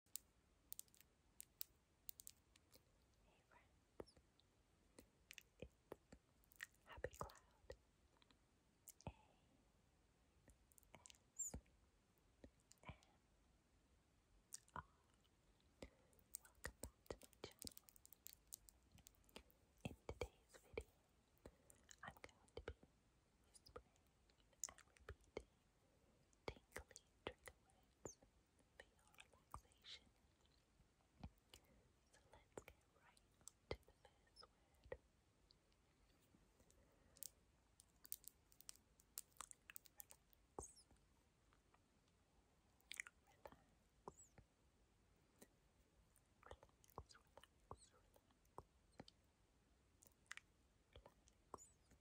Hey friends, it's Happy Cloud A S M R. Welcome to my channel. In today's video, I'm going to be whispering and repeating tingly trigger words for your relaxation. So let's get right on to the first word. Relax. Relax. Relax, relax, relax. Relax.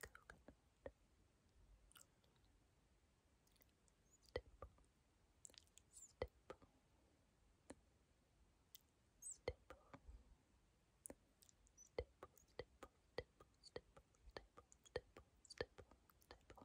coconut, stipple, stipple, stipple, stipple, stipple, stipple, stipple, stipple, stipple, stipple, stipple,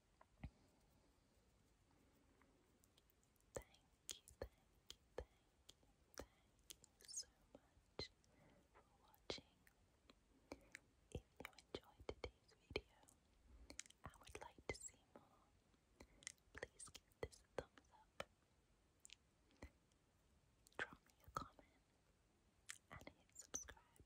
Thank you, thank you, thank you, thank you so much for watching. If you enjoyed today's video and would like to see more, please give this thumbs up. Drop me a comment and hit subscribe.